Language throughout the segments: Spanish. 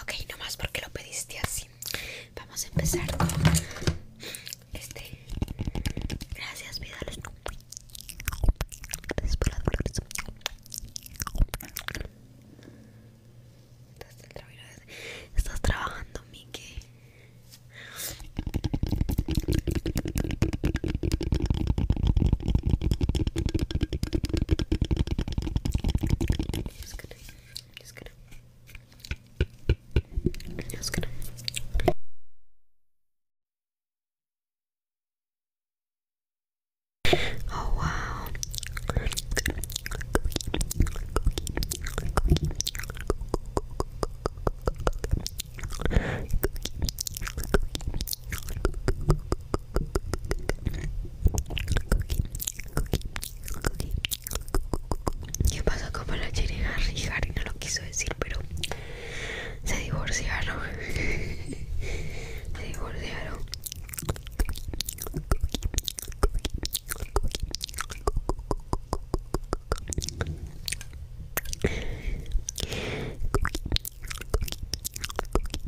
Ok, nomás porque lo pediste así. Vamos a empezar con este. Gracias, vida. Gracias por las flores. Estás trabajando, Miki. just gonna, just gonna, just gonna. Oh wow. ¿Qué pasó con la Jenny Harry? Harry no lo quiso decir, pero se divorciaron. se divorciaron.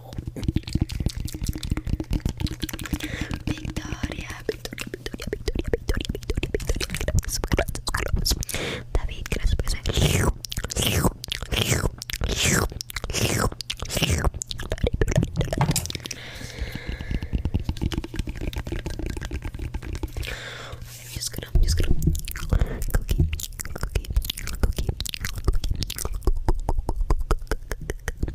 Victoria Victoria, Victoria, Victoria, Victoria, Victoria, Victoria, Victoria. David, cookie,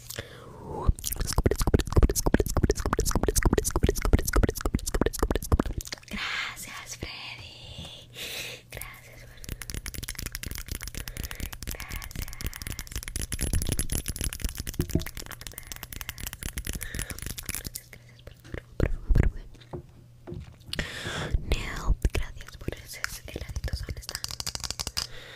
Gracias, Freddy. Gracias, Gracias. Gracias, gracias Gracias Gracias gracias por ese Gracias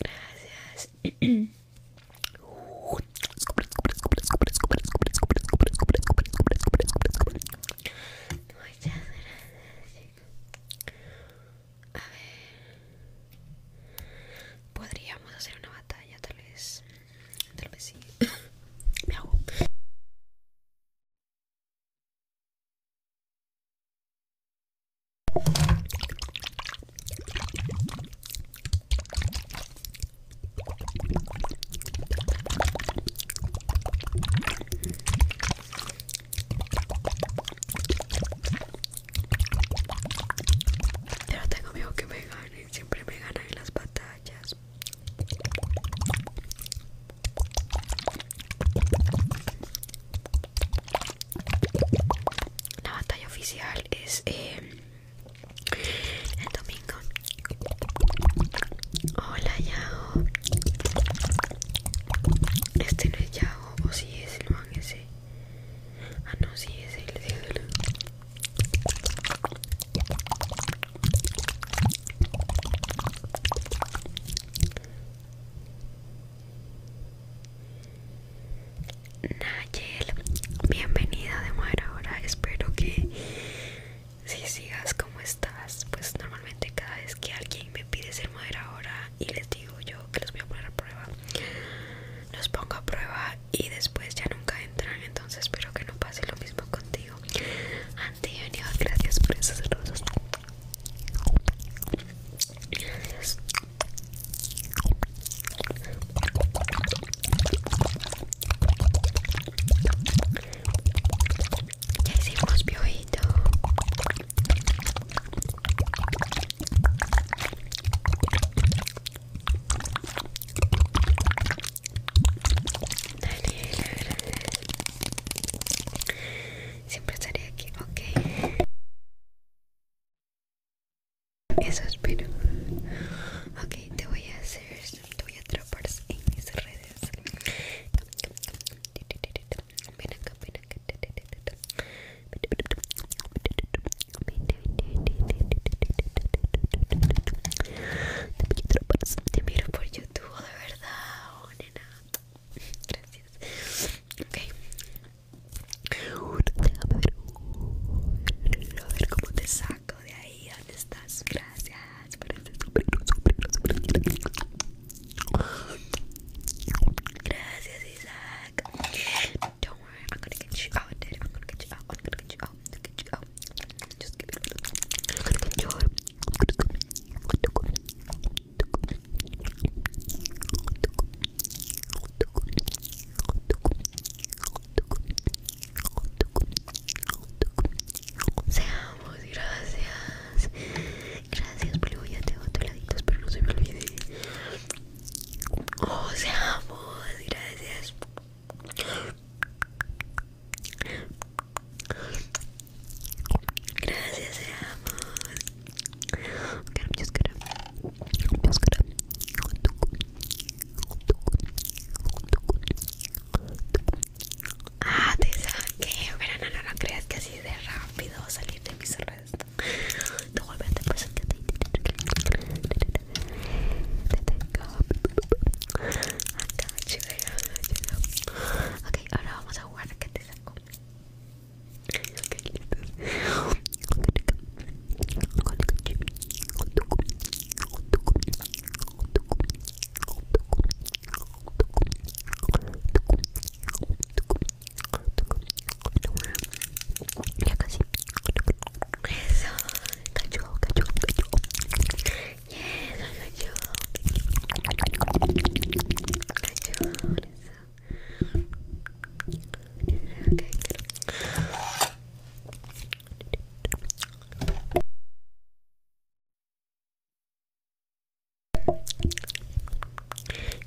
Gracias. Muchas A ver. Podríamos hacer una batalla, tal vez. Tal vez sí. Me hago tengo miedo que me gane, siempre me ganan en las batallas. La batalla oficial es em, el domingo. Hola Yao. Este no es Yao, o si es el man ese. Ah no, si es el de Nayel, bienvenida de Mujer Ahora, espero que si sigas como estás, pues normalmente cada vez que alguien me pide ser Mujer Ahora y les digo yo que los voy a poner a prueba, los pongo a prueba y después ya nunca entran, entonces espero que no pase lo mismo contigo. Antonio, gracias por esos tanto. Qué Ya hicimos piojito siempre estaré aquí, ok. Eso espero. Ok, te voy a hacer, te voy a trapar en mis redes. Ven acá, ven acá. Te miro por YouTube, de verdad, oh, nena. Gracias. Ok. Déjame ver. A ver cómo te saco de ahí. ¿Dónde estás? Gracias. Gracias, Isaac. Don't worry, I'm gonna get you out, dude. I'm gonna get you out. I'm gonna get you out. I'm gonna get you out. Just give it a little. I'm gonna get you out. Seamos, gracias. Gracias, Blue. Ya tengo otro laditos, espero no se me olvide. Oh, seamos, gracias. Gracias, amor. Ah, te saqué. no, no, creas que así de rápido salir de mis redes. De vuelta te tengo ahora vamos a jugar que te saco.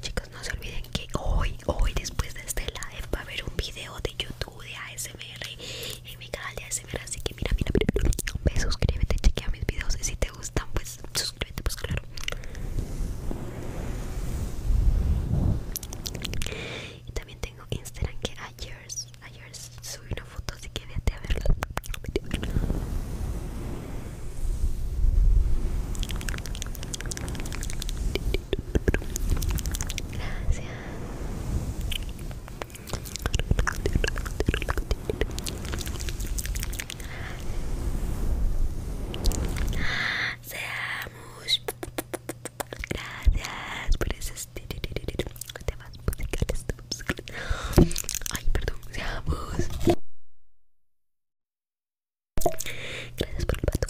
Chicos, no se olviden que hoy, hoy después de este live va a haber un video de YouTube de ASMR en mi canal de ASMR Así que mira, mira, mira suscríbete, chequea mis videos Y si te gustan, pues suscríbete, pues claro Y también tengo Instagram que ayer, ayer subí una foto Así que vete a Vete a verla Gracias Seamos Gracias por eso, pues, pues, Ay, perdón, seamos Gracias por el pastor.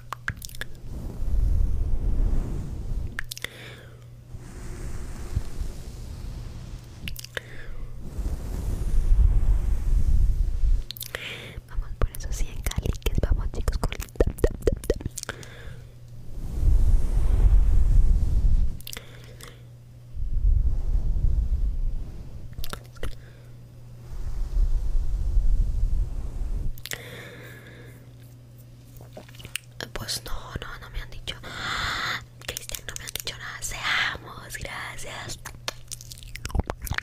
Vamos por esos que caliques, vamos chicos con el tam tap, pues no, no, no me han dicho. Cristian, no me han dicho nada. Seamos, gracias.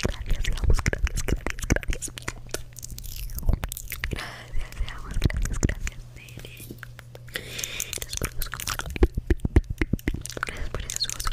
Gracias, seamos, gracias, gracias, gracias. Gracias, seamos, gracias, gracias. Gracias por Gracias por eso Gracias por eso.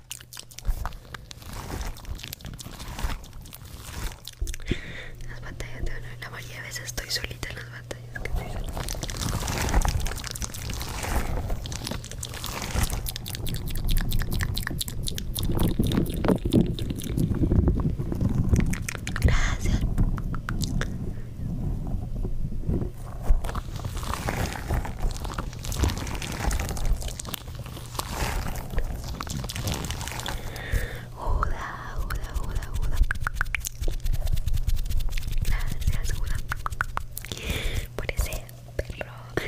Las batallas de honor, la mayoría de veces estoy solita en las batallas que estoy Gracias. Hola, hola, hola, hola. Gracias, Por ese perro. Gracias.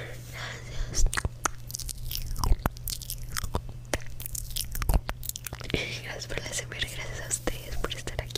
Gracias por la gracias a ustedes por estar aquí.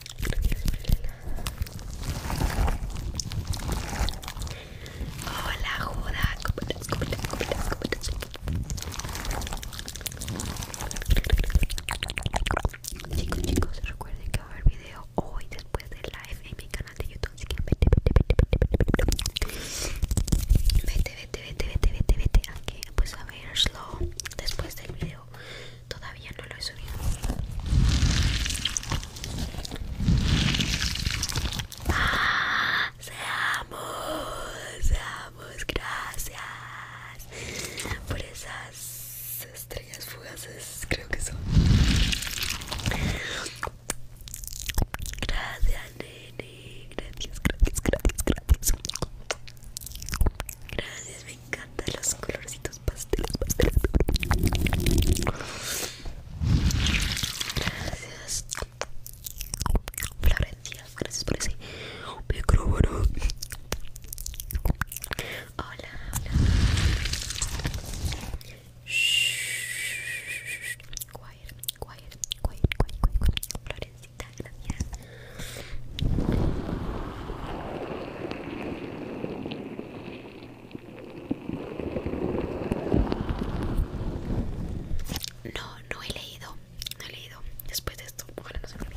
Hola, Juda. Chicos, chicos, recuerden que va a haber video hoy después de live en mi canal de YouTube. que vete, vete, vete, vete, vete, vete, vete, vete, vete, vete, vete, vete, slow todavía no lo he subido ¡Ah! seamos seamos gracias por esas estrellas fugaces creo que son Gracias, nene. Gracias, gracias, gracias, gracias. Gracias, mi encantan los colorcitos pastelos pastelos Gracias. Florencia, gracias por ese micrófono. Hola, hola. Shh. Quiet, quiet, quiet, quiet, quiet, quiet. Florencita, gracias. No, no he leído, no he leído. Después de esto, ojalá no se me olvide.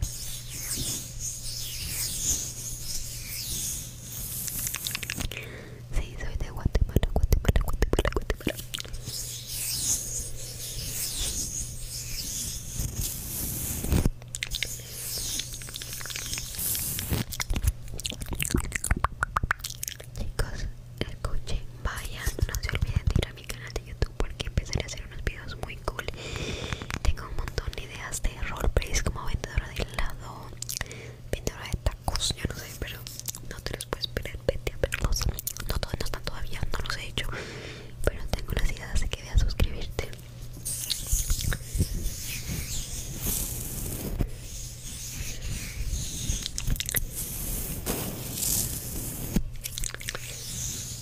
Sí, soy de Guatemala, Guatemala, Guatemala, Guatemala. Chicos, el coche vaya, no se olviden de ir a mi canal de YouTube porque empezaré a hacer unos videos muy cool tengo un montón de ideas de roleplays como vendedora de helado vendedora de tacos yo no sé pero no te los puedes perder, vete a verlos no todos no están todavía no los he hecho pero tengo las ideas así que ve a suscribirte